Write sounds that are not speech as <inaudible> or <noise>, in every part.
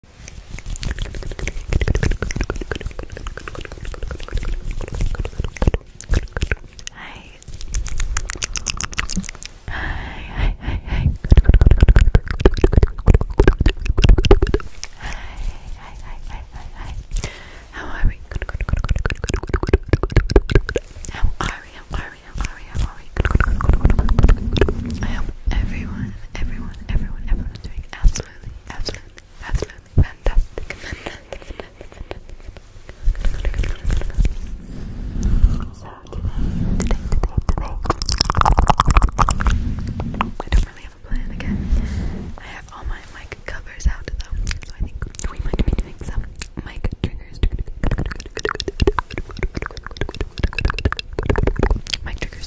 Hi. Hi, hi, hi, hi. Hi, hi, hi, hi, How are we? How are we? How are we? How are we? I hope everyone, everyone, everyone, everyone, absolutely, absolutely, absolutely fantastic. fantastic, fantastic, fantastic. So today, today, today, today, I don't really have a plan again. I have all my mic covers out though, so I think we might be doing some mic triggers. Mic triggers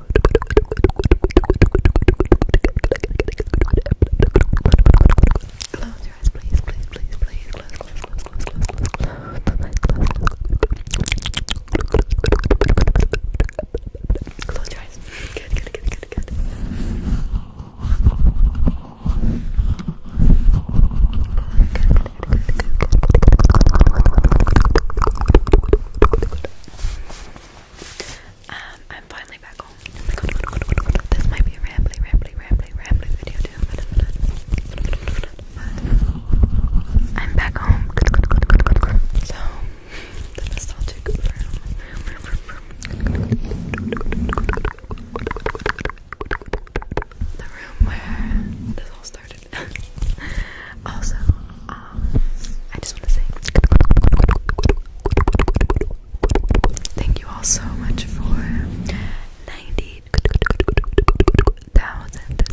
Close your eyes, please, please, please, please. Close, close, close, close, close, close, close, close, close. Close your eyes. Good, good, good, good, good. Um, I'm finally back home. Oh this might be a rambly, rambly, rambly, rambly video too. I'm back home. So the nostalgic room. The room where this all started. <laughs> also, I just want to say thank you all so much for 90,000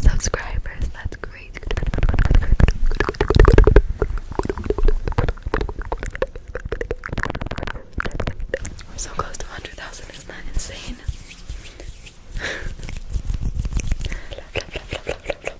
subscribers. That's great. We're so close to 100,000. Isn't that insane? <laughs>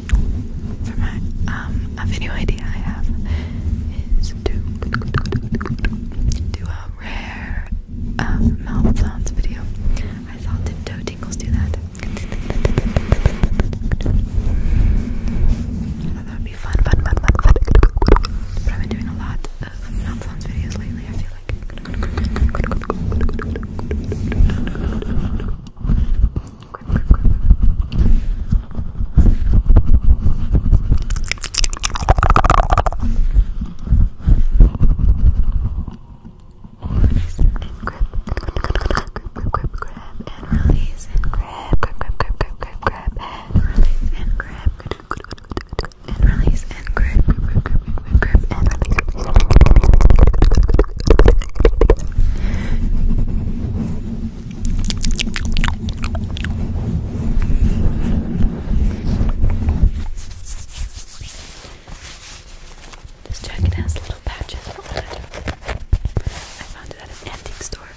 for my um a video idea I have is to do a rare um mouth video. I saw Tiptoe Tinkles do that. I thought that would be fun, fun, fun, fun, But I've been doing a lot of mouth videos lately, I feel like. Grip, grip, grip. Release and grip, grip, grip, grip, grip, grab and release and grab, grip, grip, grip, grip, grip, grab and release and grab, and release and grip, grip, grip, grip, grip, grip, and release. This jacket has little patches on it. I found it at an antique store.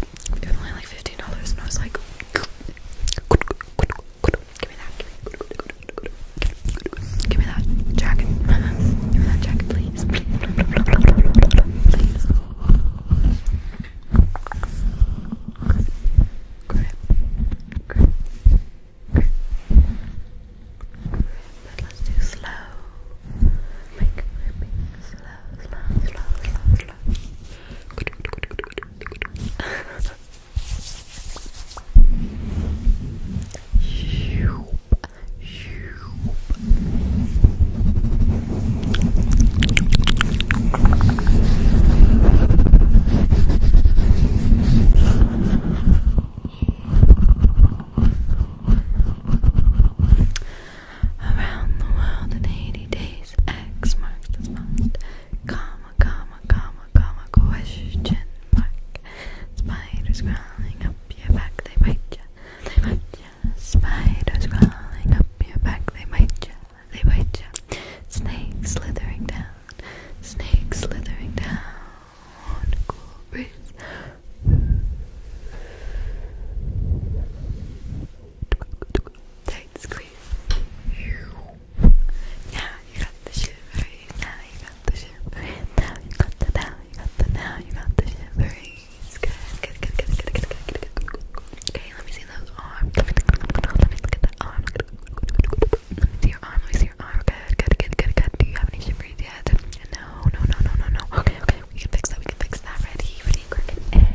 <laughs> it was only like fifteen dollars, and I was like, give me that, give me that jacket, <laughs> give me that jacket, please, please. Around the world in 80 days, X marks the spot comma, comma, comma, comma, question mark. Spiders crawling up your back, they bite ya, they bite ya. Spiders crawling up your back, they bite ya, they bite ya. Snakes slithering down, snakes slithering down. Cool breeze. Tight squeeze breathe. Now you got the shivering. Now you got the shivering. Now you got the now you got the now you got the shivering. Good, good, good, good, good, good, good, good, good, good. Okay, let me see those arms. Let me, let me look at that arm. Let me see your arm. Let me see your arm. Good, good, good, good, good. Do you have any shivers yet? No, no, no, no, no, no. Okay, okay. We can fix that. We can fix that. Ready, ready, quick. And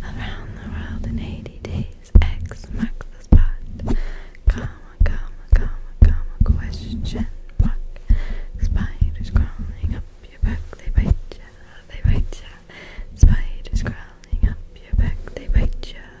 Around the world in 80 days, X marks the spot. Comma, comma, comma, comma, question mark. Spiders crawling up your back, they bite ya, they bite ya. Spiders crawling up your back, they bite ya,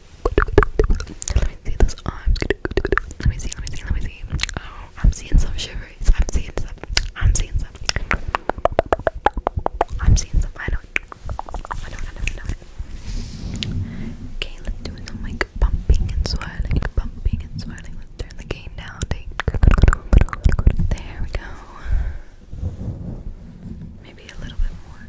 Let me see those arms. Let me see, let me see, let me see. Oh, I'm seeing some shivers. I'm seeing some. I'm seeing some. I'm seeing some. I know it. I know it, I know it, I know it. Okay, let's do some like pumping and swirling, pumping and swirling. Let's turn the cane down. Take. There we go. Maybe a little bit more.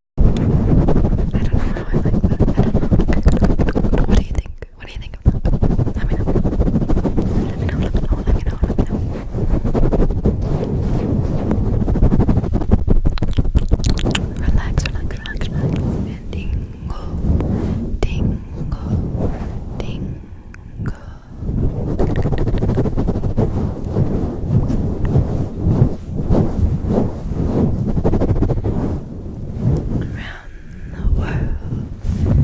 I don't know how I like that. What do you think? What do you think Let me know. Let me know, let me know, let me know, Relax, relax, relax, relax. And dingle, dingle, dingle. Good around the world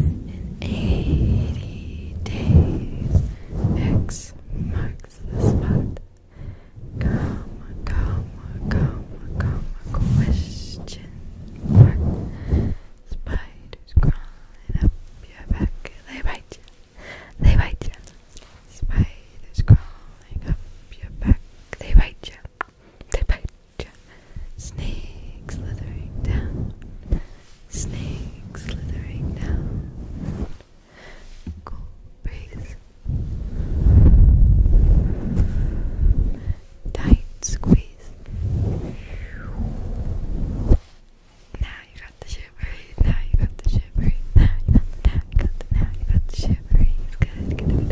in 80 days. X marks the spot. Comma, comma, comma, comma, question mark. Spiders crawling up your back, they bite you. They bite you. Spiders crawling up your back. They bite you. They bite you. Snakes slithering down. Snakes slithering down. Cool breeze. Tight squeeze. Now you got the shivers, now you got the shivers, now you got the now you got the now you got the shivers. Good, good, good.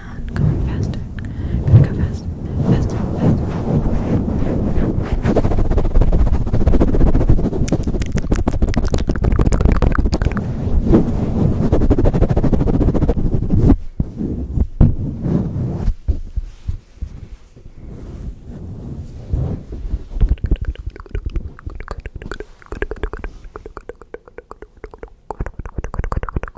down. Go on faster. Better go faster. Faster, faster that was weird.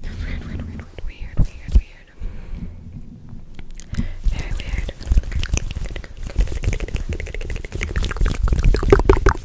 That was weird, weird, weird, weird, weird, weird. Very weird.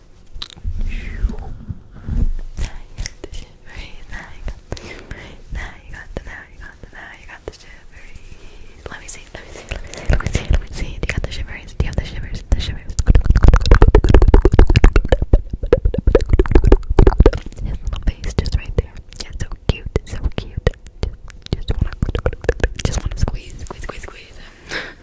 Now you got the shivery. Now you got the shivery. Now you got the now you got the now you got the shivery. Let me see. Let me see. Let me see. Let me see. Let me see. Do you got the shivers? Do you have the shivers? The shivers. His little face just right there. Yeah, so cute. So cute. Just, just wanna, just wanna squeeze, squeeze, squeeze, squeeze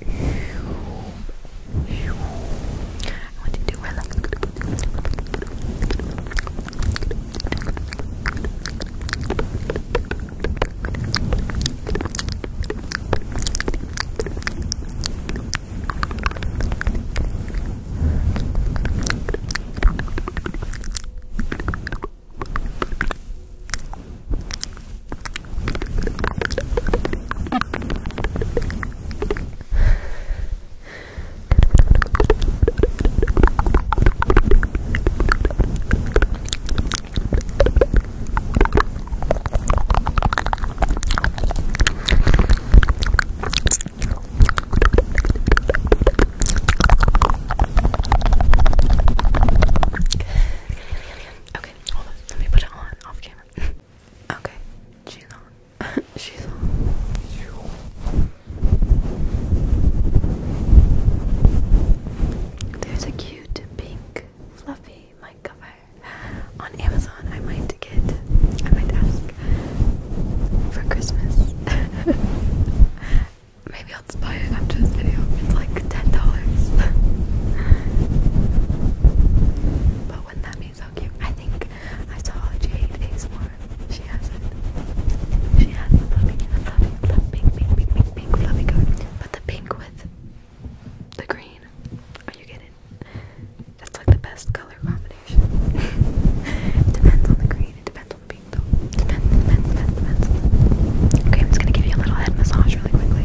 I want you to relax. Okay, hold on. Let me put it on off camera. <laughs> Okay, she's on. <laughs> she's on. There's a cute pink fluffy mic cover on Amazon. I might get. I might ask for Christmas. <laughs> Maybe I'll just after this video. It's like ten dollars. <laughs> but wouldn't that be so cute? I think I saw Jade more. She has it. She has the fluffy, the fluffy, fluffy, pink, pink, pink, fluffy coat. But the pink with the green. Are you getting? it? That's like the best color combination. <laughs> depends on the green. It depends on the pink, though. Depends, depends, depends, depends. Okay, I'm just gonna give you a little head massage really quickly.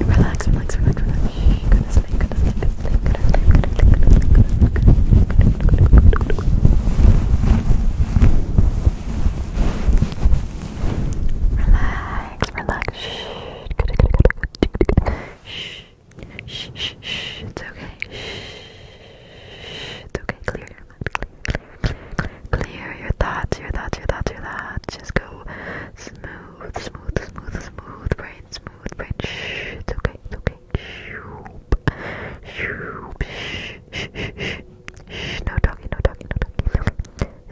Relax, relax, relax, relax. Goodness me, goodness me, goodness me, goodness me, goodness me, goodness me, goodness me, goodness me. Relax, relax. Shh. Shh, shh, shh, it's okay. Shh, it's okay. Clear your mind. Clear, clear, clear, clear your thoughts, your thoughts, your thoughts, your thoughts. Just go smooth smooth, smooth, smooth, smooth brain, smooth brain. Shh, it's okay, it's okay. Shh, shh, no talking, no talking, no talking.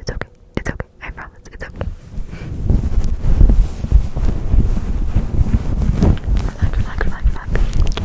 It's okay, it's okay. I promise, it's okay. Relax, relax, relax, relax. Relax.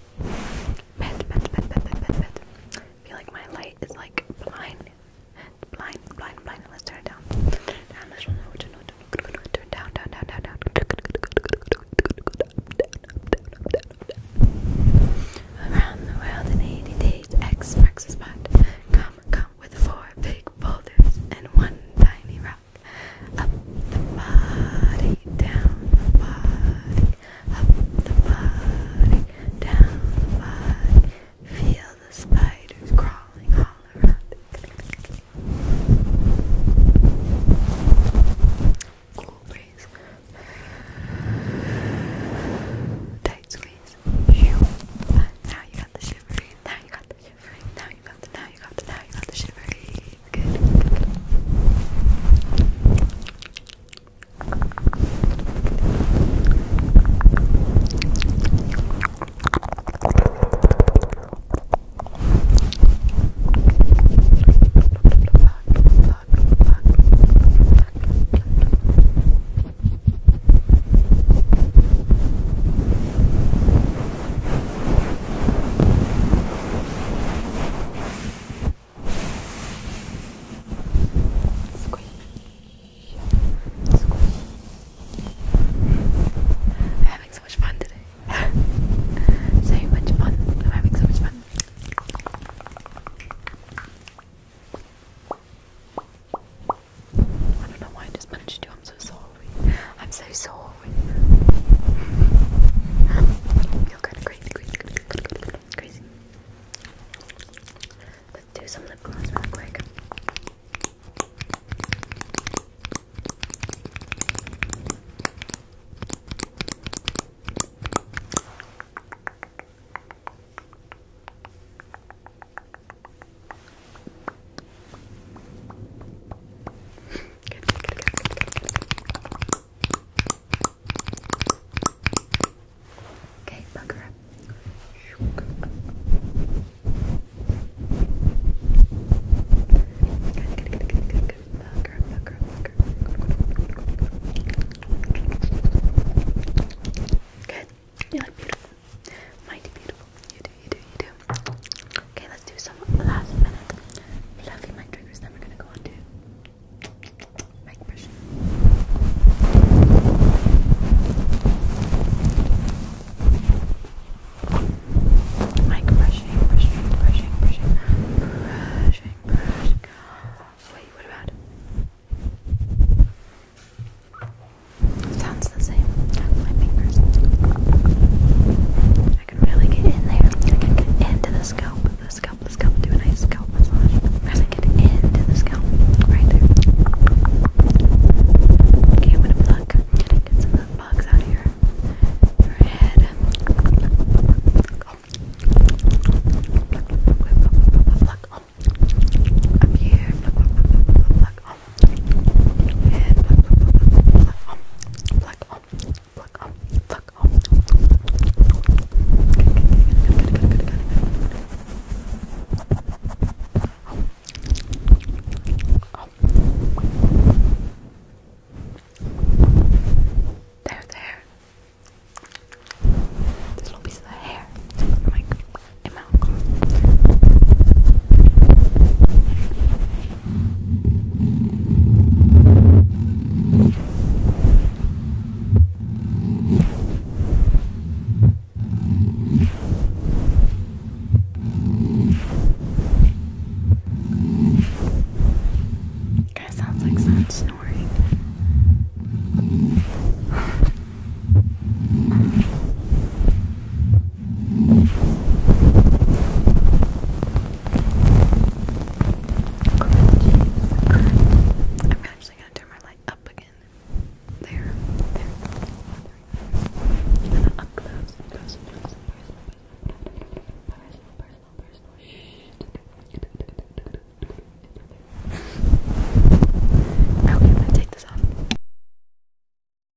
Med, med, I feel like my light is like blind. Blind, blind, blind. Let's turn it down. Down, let's turn down. down, down, down, down, Around the world in 80 days, X marks the Come, come with four big boulders and one tiny rock up, the body, down the body, up the body, down the body. Feel the spiders crawling all around Cool breeze. Tight squeeze. Now you got the shivering. Now you got the shivering. Now you got the now you got the now you Good. Squish. Squish. having so much fun today. <laughs> so much fun. I'm having so much fun. I don't know why I just punched you. I'm so sorry. I'm so sorry. <laughs> You're kind crazy, crazy, crazy, crazy, crazy. Let's do some lip gloss quick. Okay, bug up. Good, good, good, good, good, good. Bug up, bug up, bug up. Good. You look beautiful. Mighty beautiful. You you do, you do. Okay, let's do some last minute fluffy mic triggers. Then we're gonna go on mic brushing. Mic brushing, brushing, brushing, brushing, brushing, brushing. Wait, what about? Sounds the same. My fingers. I can really get in there. get into the scalp, the scalp, the scalp. Do a nice scalp massage. As I get into the scalp, right there. Okay, I'm gonna pluck. Get some of the bugs out of your, head. Pluck, pluck, pluck, pluck, pluck, pluck, here, pluck, pluck, pluck, pluck, pluck, pluck. There, there. This little piece of hair. Like, my mouth. Guy sounds like someone snoring. <laughs> I'm actually gonna turn my light up again. There, there, there. And up close, close, close, close, personal, personal, personal, personal. Shh. Okay, I'm gonna take this off.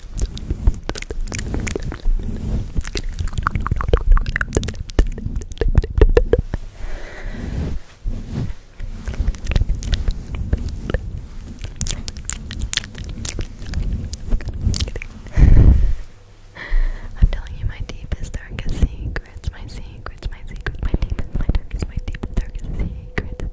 I'm telling you my deepest, darkest secrets, my secrets, my secrets, my deepest, my darkest, my deepest, darkest secrets.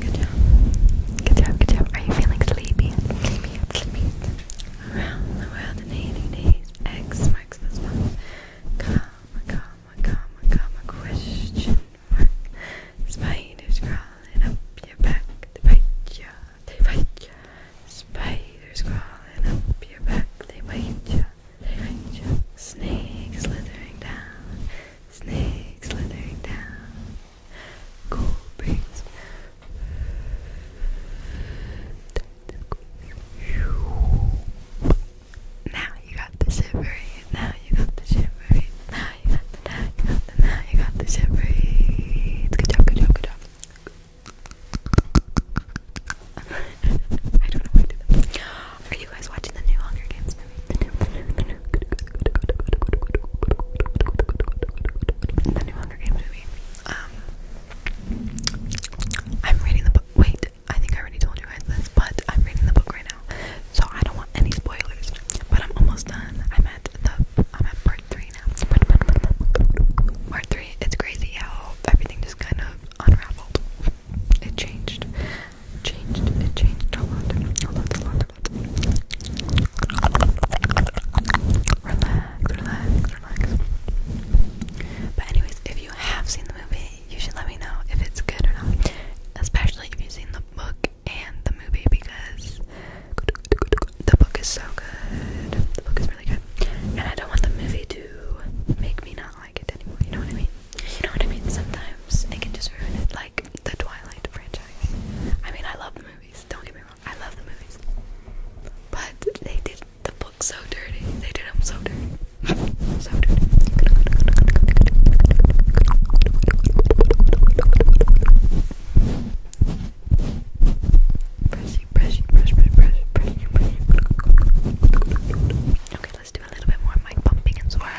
Good job. Good job, good job. Are you feeling sleepy? Sleepy, sleepy. Around the world in 80 days. X marks the spot. Comma, comma, comma, comma, question mark. Spiders crawling up your back. They bite ya, they bite ya. Spiders crawling up your back. They bite ya, they bite ya. Snakes slithering down. Snakes slithering down cool breeze. Now you got the shivery, now you got the shivery, now you got the, now you got the, now you got the shivery. Good job, good job, good <laughs> I don't know why I did that. Are you guys watching the new Hunger Games? The Hunger Games movie. Um, I'm reading the book. Wait, I think I already told you guys this, but I'm reading the book right now, so I don't want any spoilers. But I'm almost done. I'm at the. I'm at part three now. Part three. It's crazy how everything just kind of unraveled. It changed changed. It changed a lot. A lot, a lot, a lot. Relax, relax, relax. But anyways, if you have seen the movie, you should let me know if it's good or not. Especially if you've seen the book and the movie because the book is so good. The book is really good. And I don't want the movie to make me not like it anymore. You know what I mean? You know what I mean? Sometimes it can just ruin it. Like the Twilight franchise. I mean, I love the movies. Don't get me wrong, I love the movies, but they did the book so dirty. They did them so dirty, let's do a little bit more mic pumping and swirling.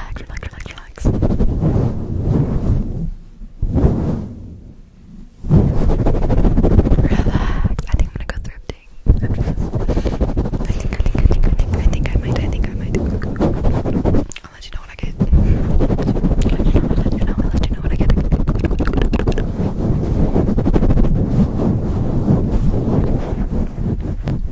relax, relax, relax, relax. Relax. I think I'm gonna go thrifting after I think, I think, I think, I think, I think I might, I think I might. I'll let you know what I get. let you know, let you know, I'll let you know what I get.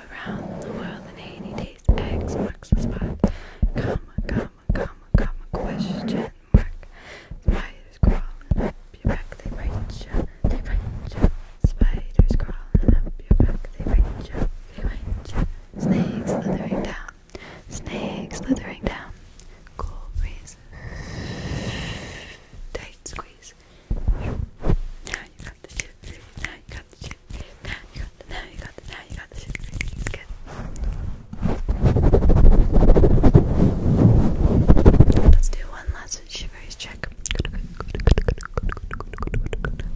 Around the world in 80 days, X marks Comma, comma, comma, comma, question mark. Spy spiders crawling up your back, they bite you, they bite you. Spiders crawling up your back, they bite you, they bite you. Snakes slithering down, snakes slithering down. Cool breeze, tight squeeze. Now you got the shit now you got the shit now you got the, now you got the, now you got the shit Let's do one last shivers check.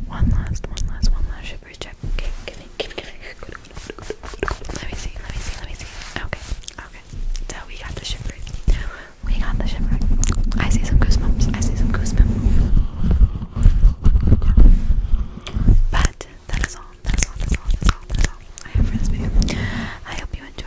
One last, one last, one last shivers check. Okay, give me, give me, give me. Let me see, let me see, let me see. Okay, okay. So we got the shivers. We got the shivers. I see some goosebumps. I see some goosebumps. But that is all. That's all. That's all. That's all. That's all. I have for this I hope you enjoy.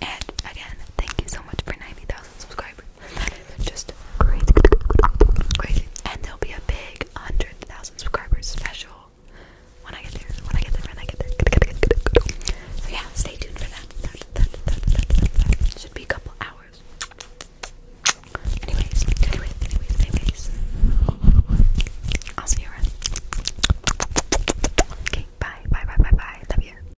and again, thank you so much for 90,000 subscribers. just crazy, crazy. And there'll be a big 100,000 subscribers special when I get there. When I get there, when I get there. So yeah, stay tuned for that. that. Should be a couple hours. Anyways, anyways, anyways, anyways. I'll see you around. Okay, bye, bye, bye, bye, bye. Love you.